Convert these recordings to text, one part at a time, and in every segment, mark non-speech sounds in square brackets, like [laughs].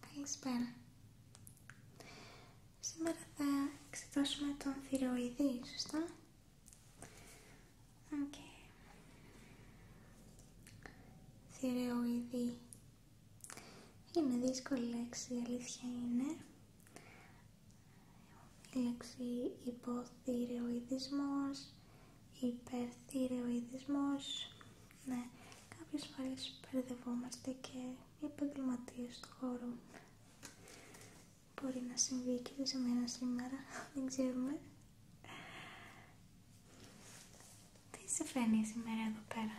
Καλησπέρα. Σήμερα θα εξετάσουμε τον θηροειδή, σωστά. Οκ. Okay. Είναι δύσκολη λέξη, η αλήθεια είναι. Η λέξη υποθυροειδισμός υπερθυρεοειδισμός. Ναι, κάποιες φορές μπερδευόμαστε και οι επαγγελματίες του χώρου. Μπορεί να συμβεί και σε μένα σήμερα, [laughs] δεν ξέρουμε. Τι σε φαίνει σήμερα εδώ πέρα,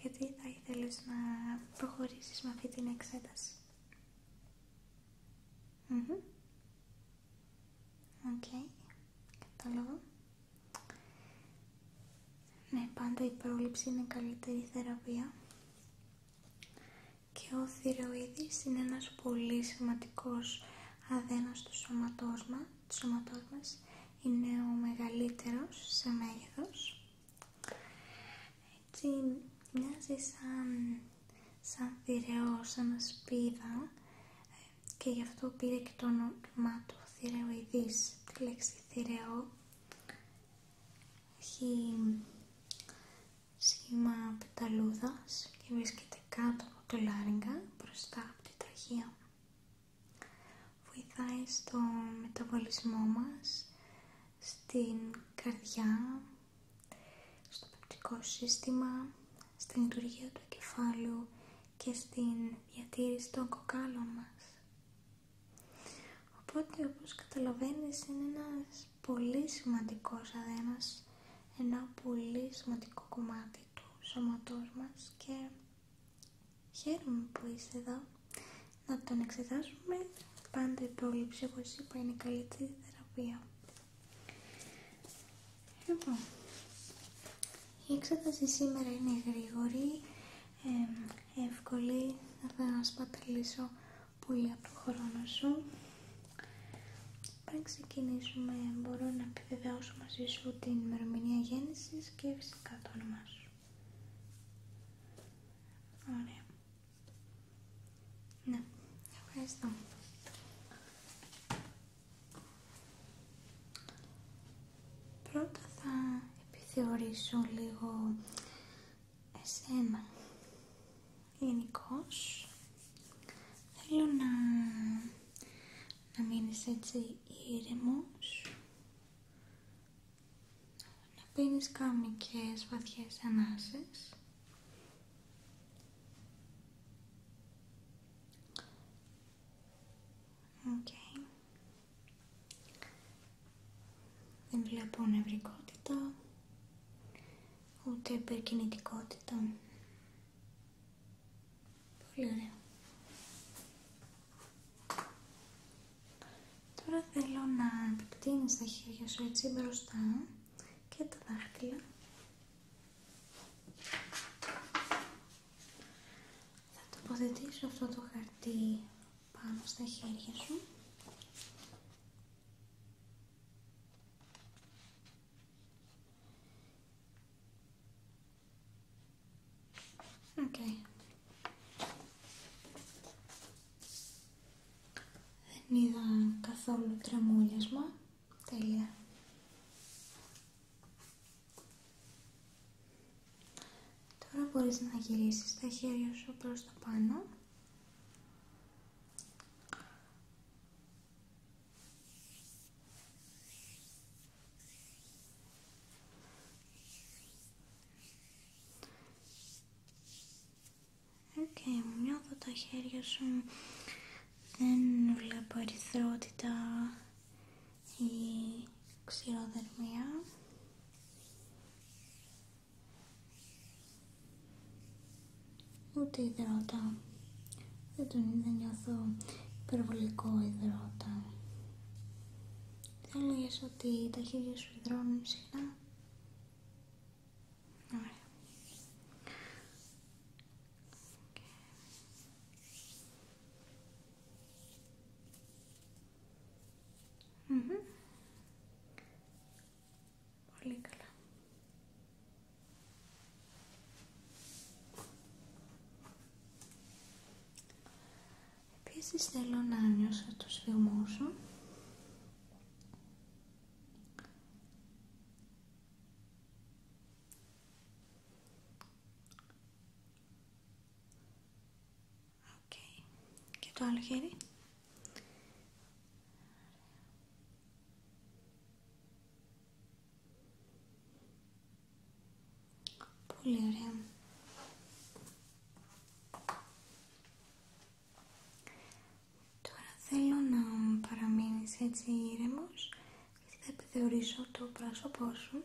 γιατί θα ήθελες να προχωρήσεις με αυτή την εξέταση. Mm Okay, κατάλαβα. Ναι, πάντα η πρόληψη είναι καλύτερη θεραπεία και ο θηροίδης είναι ένας πολύ σημαντικός αδένας του σώματός μας, είναι ο μεγαλύτερος σε μέγεθος έτσι μοιάζει σαν, σαν θηρεό, σαν σπίδα και γι' αυτό πήρε και το όνομα του θηρεοειδής, τη λέξη θηρεό έχει σχήμα πεταλούδας και βρίσκεται κάτω από το λάριγκα μπροστά από τη τραχία βοηθάει στο μεταβολισμό μας στην καρδιά στο πεπτικό σύστημα στην λειτουργία του κεφάλαιου και στην διατήρηση των κοκάλων μας. Οπότε όπως καταλαβαίνεις είναι ένας πολύ σημαντικός αδένας, ένα πολύ σημαντικό κομμάτι του σώματός μας και χαίρομαι που είσαι εδώ να τον εξετάσουμε. Πάντα η πρόληψη, όπως είπα, είναι η καλύτερη θεραπεία. Λοιπόν, η εξέταση σήμερα είναι γρήγορη, εύκολη, δεν θα σπαταλίσω πολύ από το χρόνο σου. Πριν ξεκινήσουμε, μπορώ να επιβεβαιώσω μαζί σου την ημερομηνία γέννησης και φυσικά το όνομά σου. Ωραία. Ναι, ευχαριστώ. Πρώτα θα επιθεωρήσω λίγο εσένα γενικώ. Θέλω να, να μείνεις έτσι ήρεμος να πίνεις κανονικές βαθιές ανάσες δεν βλέπω νευρικότητα, ούτε υπερκινητικότητα. Πολύ ωραία. Τώρα θέλω να επεκτείνεις τα χέρια σου έτσι μπροστά και τα δάχτυλα θα τοποθετήσω αυτό το χαρτί πάνω στα χέρια σου. Δεν είδα καθόλου τρεμούλιασμα. Τέλεια. Τώρα μπορείς να γυρίσεις τα χέρια σου προς τα πάνω Και μια νιώθω τα χέρια σου δεν βλέπω αριθρότητα η ξηροδερμία ούτε υδρότα δεν τον νιώθω υπερβολικό υδρότα θα έλεγες ότι τα χέρια σου υδρώνουν συχνά Ωραία. Πολύ καλά. Επίσης θέλω να νιώσω το σφιγμό σου. Και το άλλο χέρι. Πολύ ωραία. Τώρα θέλω να παραμείνεις έτσι ήρεμος και θα επιθεωρήσω το πρόσωπό σου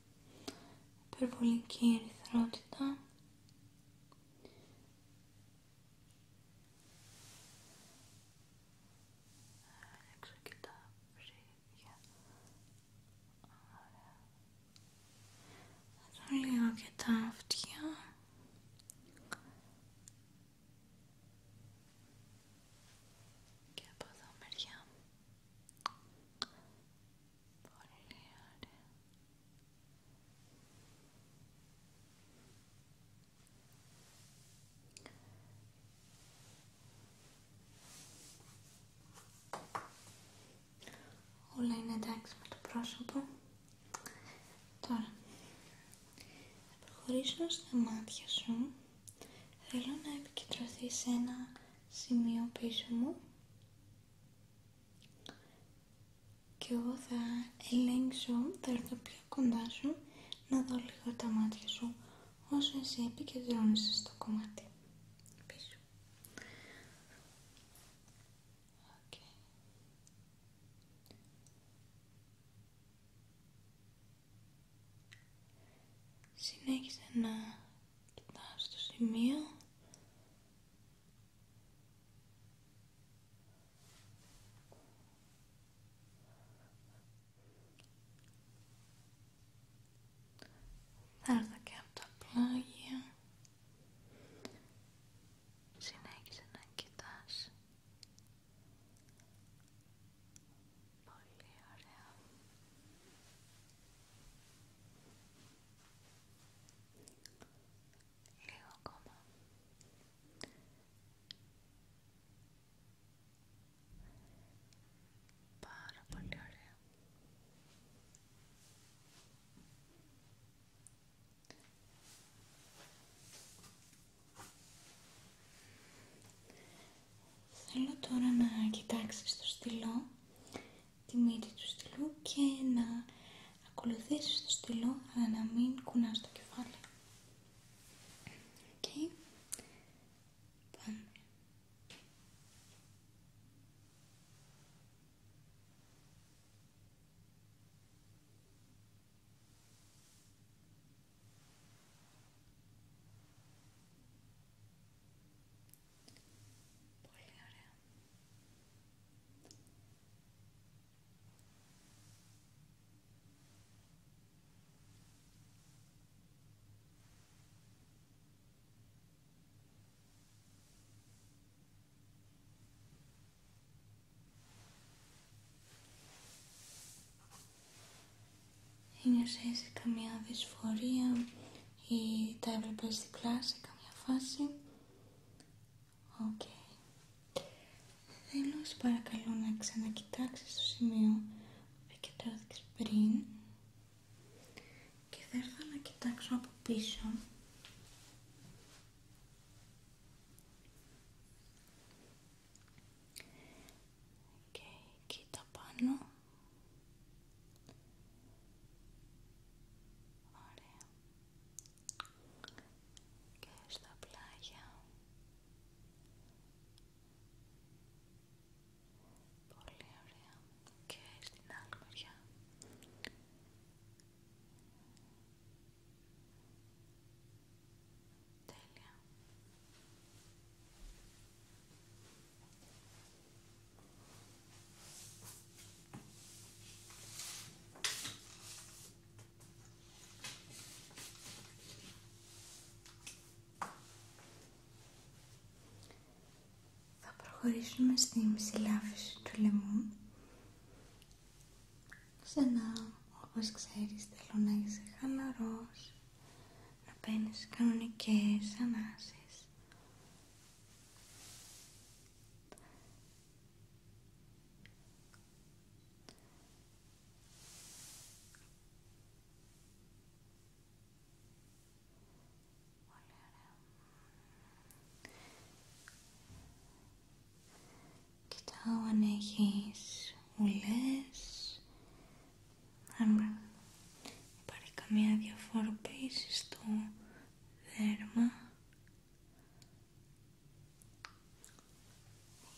υπερβολική ερυθρότητα Άλλαξα και τα ψήφια Ωραία λίγο και τα αυτιά και από εδώ μεριά Πολύ ωραία. Όλα είναι εντάξει με το πρόσωπο. Τώρα, θα προχωρήσω στα μάτια σου. Θέλω να επικεντρωθεί σε ένα σημείο πίσω μου και εγώ θα ελέγξω, θα έρθω πιο κοντά σου να δω λίγο τα μάτια σου όσο εσύ επικεντρώνεσαι στο κομμάτι πίσω Συνέχισε να Κοιτάς το σημείο. Θα έρθω και από τα πλάγια. Συνέχισε να κοιτάς. Πολύ ωραία. Λίγο ακόμα. Πάρα πολύ ωραία. Θέλω τώρα να κοιτάξεις το στυλό τη μύτη του στυλού και να ακολουθήσεις το στυλό αλλά να μην κουνάς το κεφάλι. Πολύ ωραία. Είναι σε καμιά δυσφορία ή τα έβλεπες διπλά σε καμιά φάση. Οκ. Θέλω σε παρακαλώ να ξανακοιτάξεις το σημείο που κοιτάξει πριν και θα έρθω να κοιτάξω από πίσω και κοίτα πάνω Ωραία. Και στα πλάγια. Πολύ ωραία. Και στην άλλη μεριά. Τέλεια. Θα προχωρήσουμε στη μυσιλάφιση του λαιμού. να όπως ξέρεις, θέλω να είσαι χαλαρός, να παίρνεις κανονικές ανάσες Πολύ ωραία. Κοιτάω αν έχεις ουλές, αν υπάρχει καμία διαφοροποίηση στο δέρμα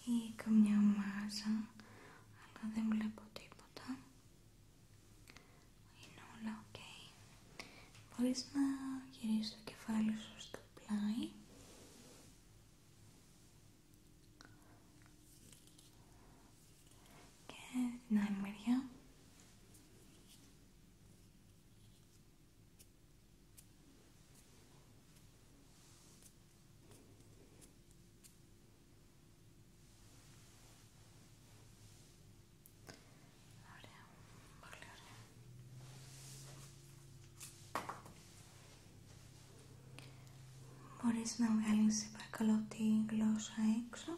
ή καμιά μάζα αλλά δεν βλέπω τίποτα είναι όλα ok μπορείς να γυρίσεις το κεφάλι σου στο πλάι και την άλλη μεριά Μπορείς να βγάλεις παρακαλώ τη γλώσσα έξω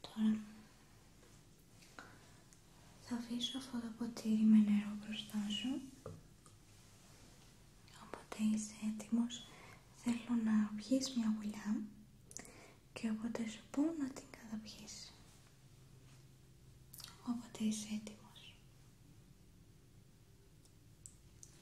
Τώρα θα αφήσω αυτό το ποτήρι με νερό μπροστά σου. Όποτε είσαι έτοιμος θέλω να πιεις μια γουλιά και όποτε σου πω να την καταπιείς. Όποτε είσαι έτοιμος.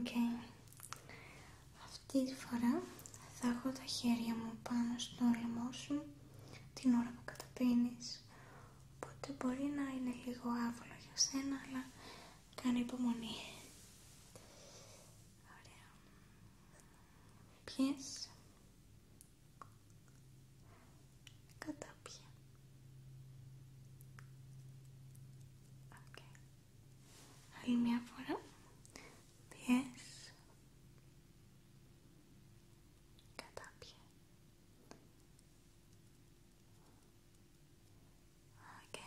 Okay. Αυτή τη φορά θα έχω τα χέρια μου πάνω στο λαιμό σου την ώρα που καταπίνεις. Οπότε μπορεί να είναι λίγο άβολο για σένα, αλλά κάνει υπομονή. Ωραία. Πιες. Άλλη μια φορά. Πιες. Κατάπιε. Οκ.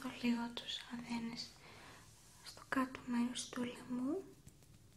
Θα λίγο τους αδένες στο κάτω μέρος του λαιμού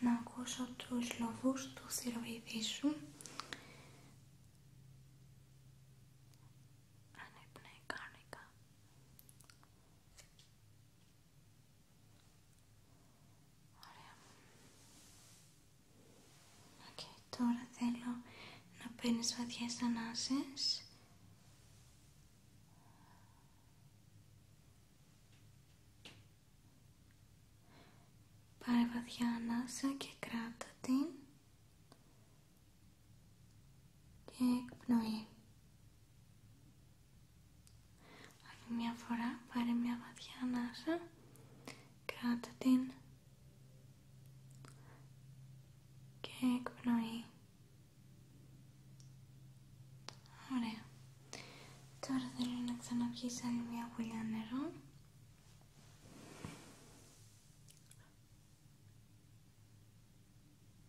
να ακούσω τους λόγους του θηροειδή σου ανέπνεε κανονικά τώρα θέλω να παίρνεις βαθιές ανάσες Πάρε βαθιά ανάσα και κράτα την και εκπνοή. Άλλη μια φορά πάρε μια βαθιά ανάσα, κράτα την και εκπνοή. Ωραία. Τώρα θέλω να ξαναπιείς άλλη μια γουλιά νερό.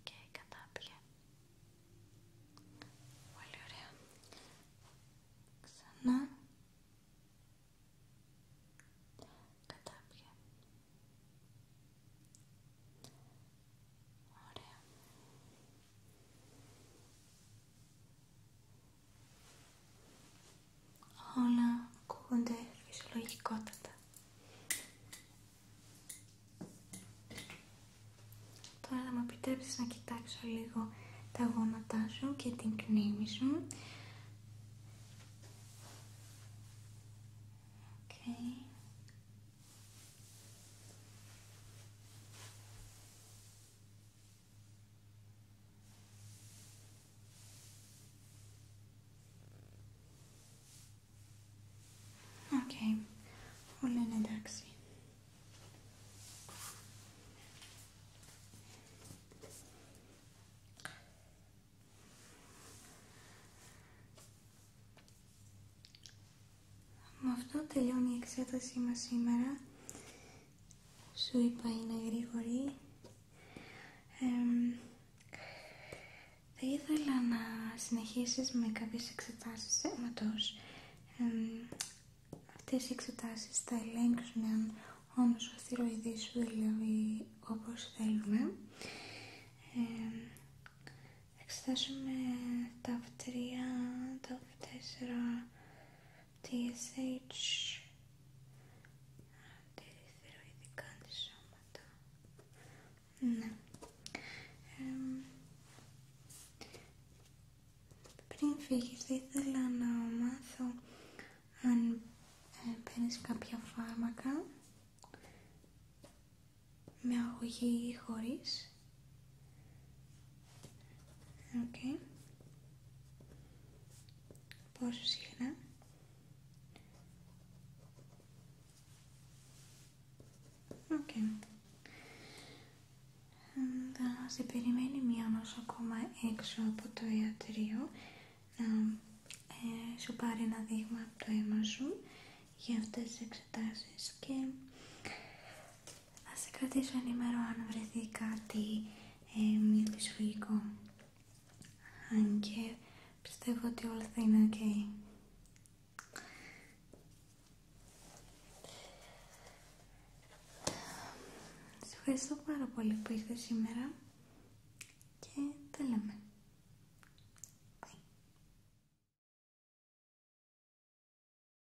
Και κατάπιε. Πολύ ωραία. Ξανά. Κατάπιε. Ωραία. Όλα ακούγονται φυσιολογικότατα. Τώρα θα μου επιτρέψεις να κοιτάξω λίγο τα γόνατά σου και την κνήμη σου. Okay, όλο είναι εντάξει. Με αυτό τελειώνει η εξέτασή μας σήμερα. Σου είπα είναι γρήγορη. θα ήθελα να συνεχίσεις με κάποιες εξετάσεις αίματος. Ε, αυτές οι εξετάσεις θα ελέγξουν αν όμως ο θηροειδής σου δηλαδή όπως θέλουμε. Ε, εξετάσουμε τα 3, τα 4, TSH αντιδιθυροειδικά αντισώματα ναι πριν φύγει θα ήθελα να μάθω αν ε, παίρνει κάποια φάρμακα με αγωγή ή χωρίς Οκ, Πόσο συχνά. Okay. Θα σε περιμένει μία ακόμα έξω από το ιατρείο να ε, σου πάρει ένα δείγμα από το αίμα σου για αυτές τις εξετάσεις και θα σε κρατήσω ενήμερο αν βρεθεί κάτι ε, μη δυσφυγικό Αν και πιστεύω ότι όλα θα είναι ok. Σε ευχαριστώ πάρα πολύ που ήρθες σήμερα και τα λέμε.